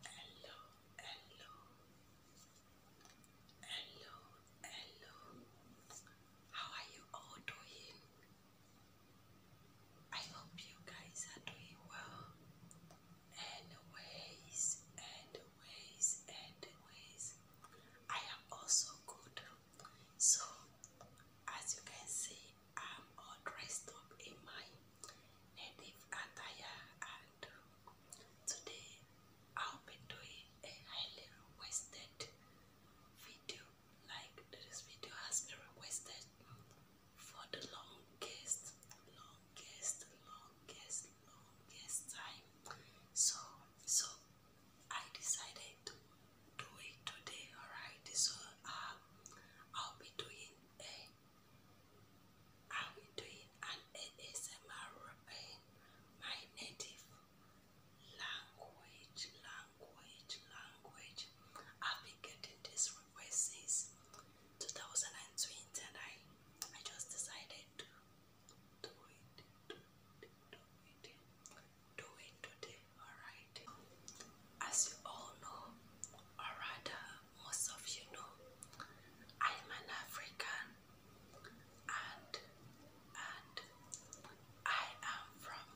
hello, hello, hello, hello. How are you all doing? I hope you guys are doing well. Anyways, anyways, anyways, I am also good. So, as you can see, I'm all dressed up in my native attire and today I'll be doing a highly requested video like this video has been requested for the longest longest longest longest time so so I decided to do it today alright so um I'll be doing a I will do an ASMR in my native language, language, language. I've been getting this request 2020 and I, I just decided to do it, do it, do it, do it today, alright? As you all know, or rather, most of you know I'm an African and and I am from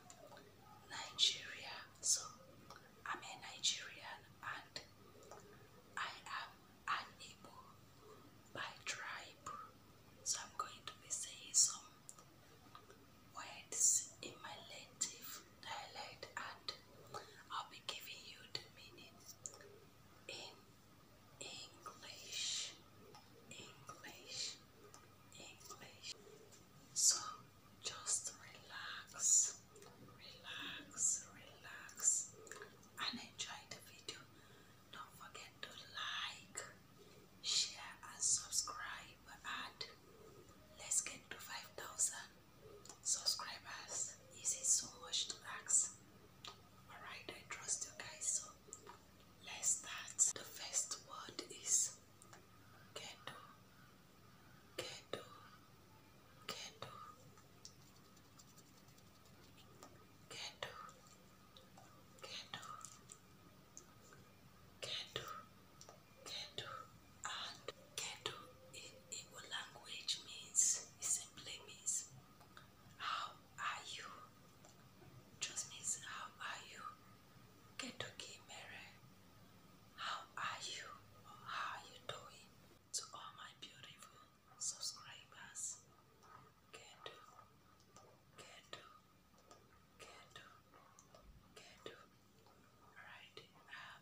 Nigeria. So I'm a Nigerian and I am an Igbo by tribe. So I'm going to be saying some words in my native dialect and I'll be giving you the meaning in English. English. English. So just relax, relax, relax, and enjoy the video. Don't forget to like, share, and subscribe. And let's get to 5,000 subscribers. This is so much to ask. Alright, I trust you guys. So let's start. The first word is Kedo. Kedo. Kedo. Kedo. Kedo. Kedo. Kedu and Kedu in Igbo language means simply means how are you? Just means how are you? Kedu ki mere? How are you? how are you doing? To all my beautiful subscribers, Kedu, Kedu, Kedu, Kedu. Alright. Uh,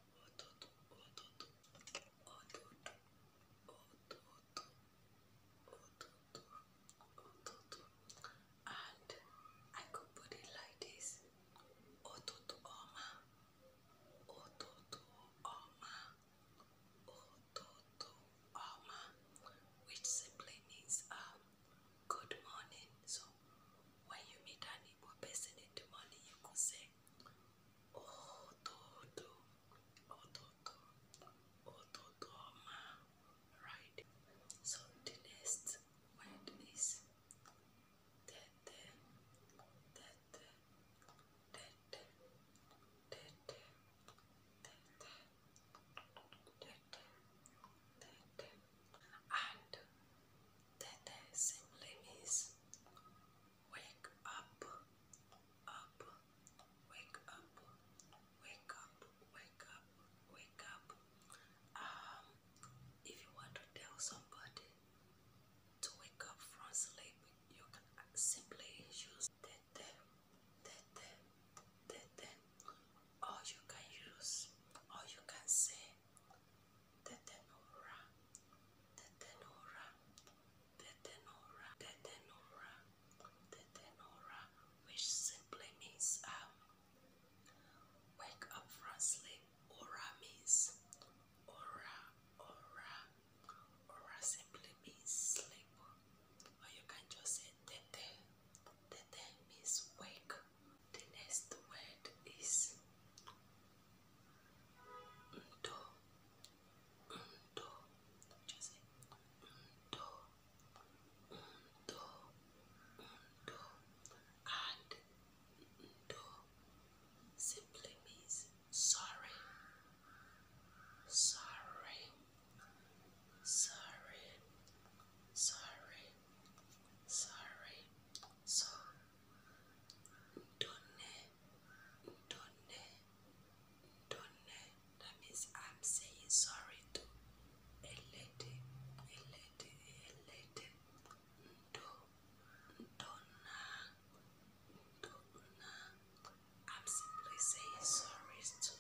and I could put it like this Ototo Oma Ototo Oma Ototo Oma which simply means um good morning so when you meet an Igbo person in the morning you could say Òtòdó, òtòdó, òtòdóma, right? So the next word is tete, tete, tete, tete, tete, tete, tete, and then simply means wake up, up, wake up, wake up, wake up, wake up. Um, if you want to tell somebody to wake up from sleep, you can simply use tete, tete, tete, or you can use, or you can say. Tetanura, Tetanura, Tetanura, Tetanura, Tetanura, which simply means um, wake up from sleep. Aura means aura, aura, aura simply means sleep. Or you can just say tete. Tete means wake. The next word is Ndo. Ndo. Just say Ndo. Ndo. Ndo. And simply means sorry. Sorry. Sorry. Sorry. Sorry. So Donne, donne, donne. That means I'm saying sorry to a lady, a lady, a lady. Do, donna, donna. I'm simply saying sorry to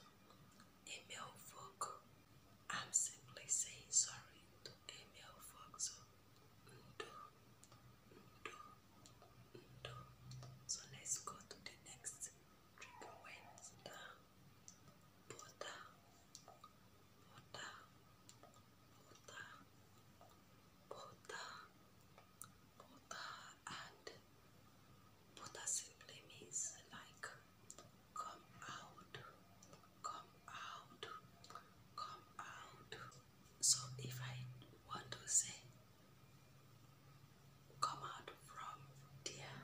a male folk. I'm simply saying sorry to Emil Fox. So let's go to the next triple went down. Butter, butter, and butter simply means like come out, come out, come out. So if I want to say, come out from there,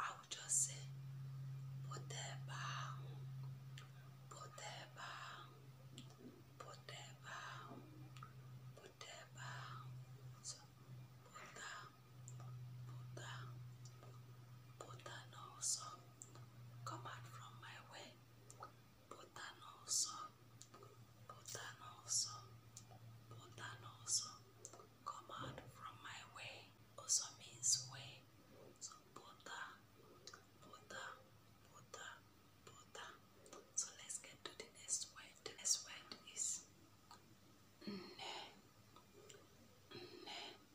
I will just say, put their bow, put their bow, put their So put down, put down, put come out from my way. Bhutan also, Bhutan also, Bhutan also, come out from my way. Also means way. So Buddha, Buddha, Buddha, Buddha. So let's get to the next word. The next word is and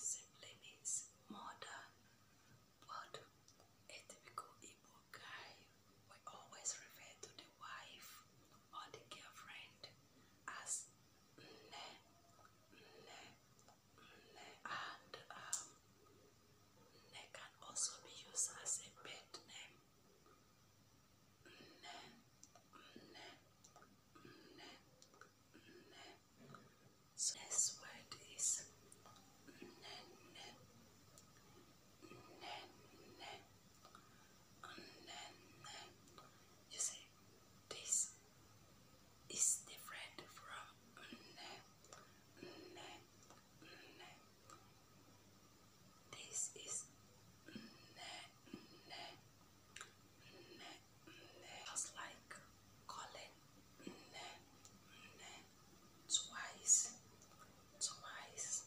simply means more than. But a typical Igbo guy will always refer to the wife or the girlfriend as nne, nne, and um, Ne can also be used as a pet name. Ne, ne, ne, ne. So next word is ne, ne, ne, ne. You see, this it's different from nne, nne, nne. This is nne, nne, nne, nne. Just like calling nne, nne twice, twice,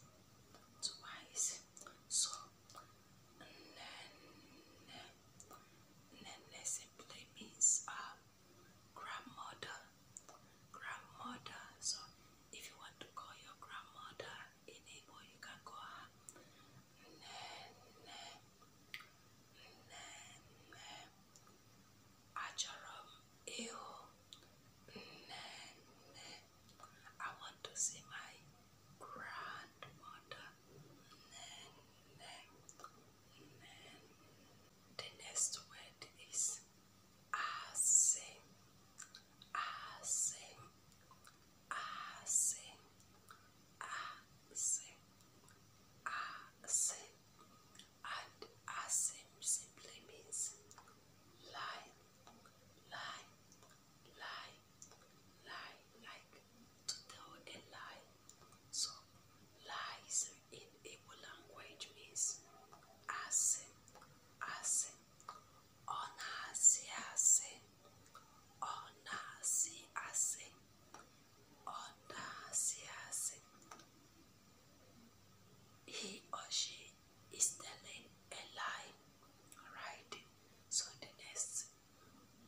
twice. So Nene simply means uh, grandmother. Grandmother. So if you want to call your grandmother in Igbo, you can call her Nene. Nene. Acharam Eho. Nene. I want to see my grandmother the next word is ase, ase, ase, ase, ase, and ase simply means lie, lie, lie, lie, like to tell a lie. So, lies in Igbo language means asị, asị, ọ na-asị asị, ọ na-asị asị, He or she is telling a lie, right? So the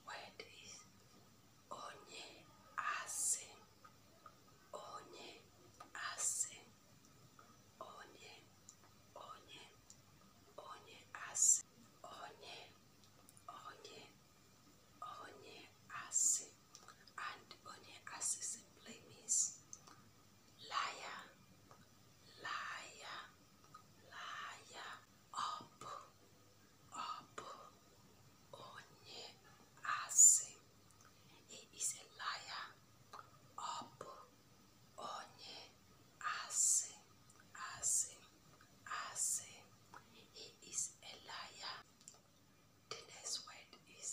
word is onye asị onye asị onye onye onye asị onye onye onye and onye asị simply means liar liar liar ọ bụ ọ bụ he is a liar ọ bụ onye asị asị he is a liar the next is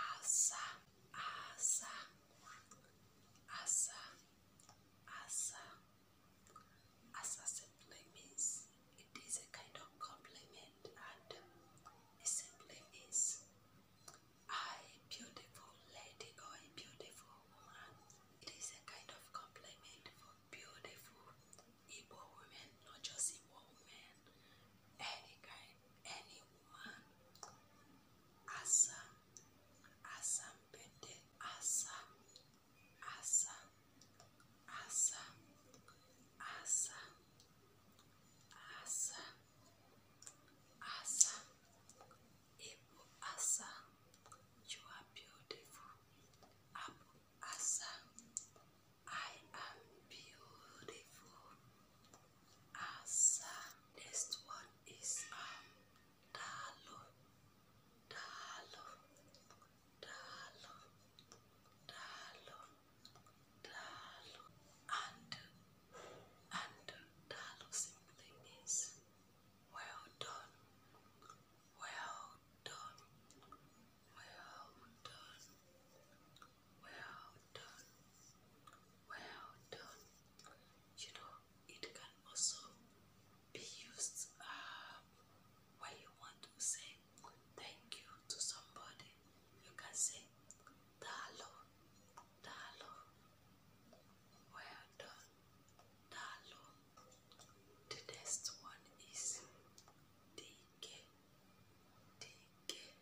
asa asa asa Asa. Asa simply means it is a kind of compliment and simply means I beautiful lady or a beautiful woman. It is a kind of compliment for beautiful Igbo women, not just Igbo women, any kind, any one. Asa. Asa pete. Asa. Asa. Asa. Asa. Asa. Asa. Ibu Asa. You are beautiful. Abu Asa. I am beautiful as uh, next one is um dalo dalo dalo dalo dalo and and dalo simply means well done well done well done well done well done well done. You know, it can also be used uh, when you want to say thank you to somebody. You can say Dalo, Dalo, well done, Dalo. The next one is DK, DK.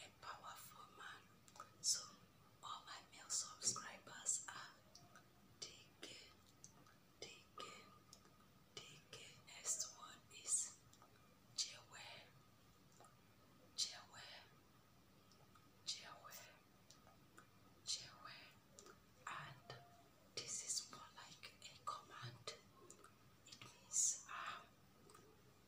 a powerful man. So all my male subscribers are DK, Next one is Jewe, And this is more like a command. It means um,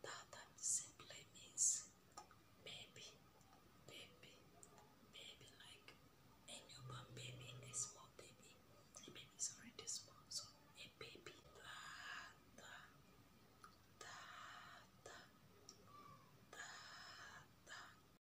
Tata simply means baby, baby, baby, like a newborn baby, a small baby. A baby is already small, so a baby. Tata, tata, tata.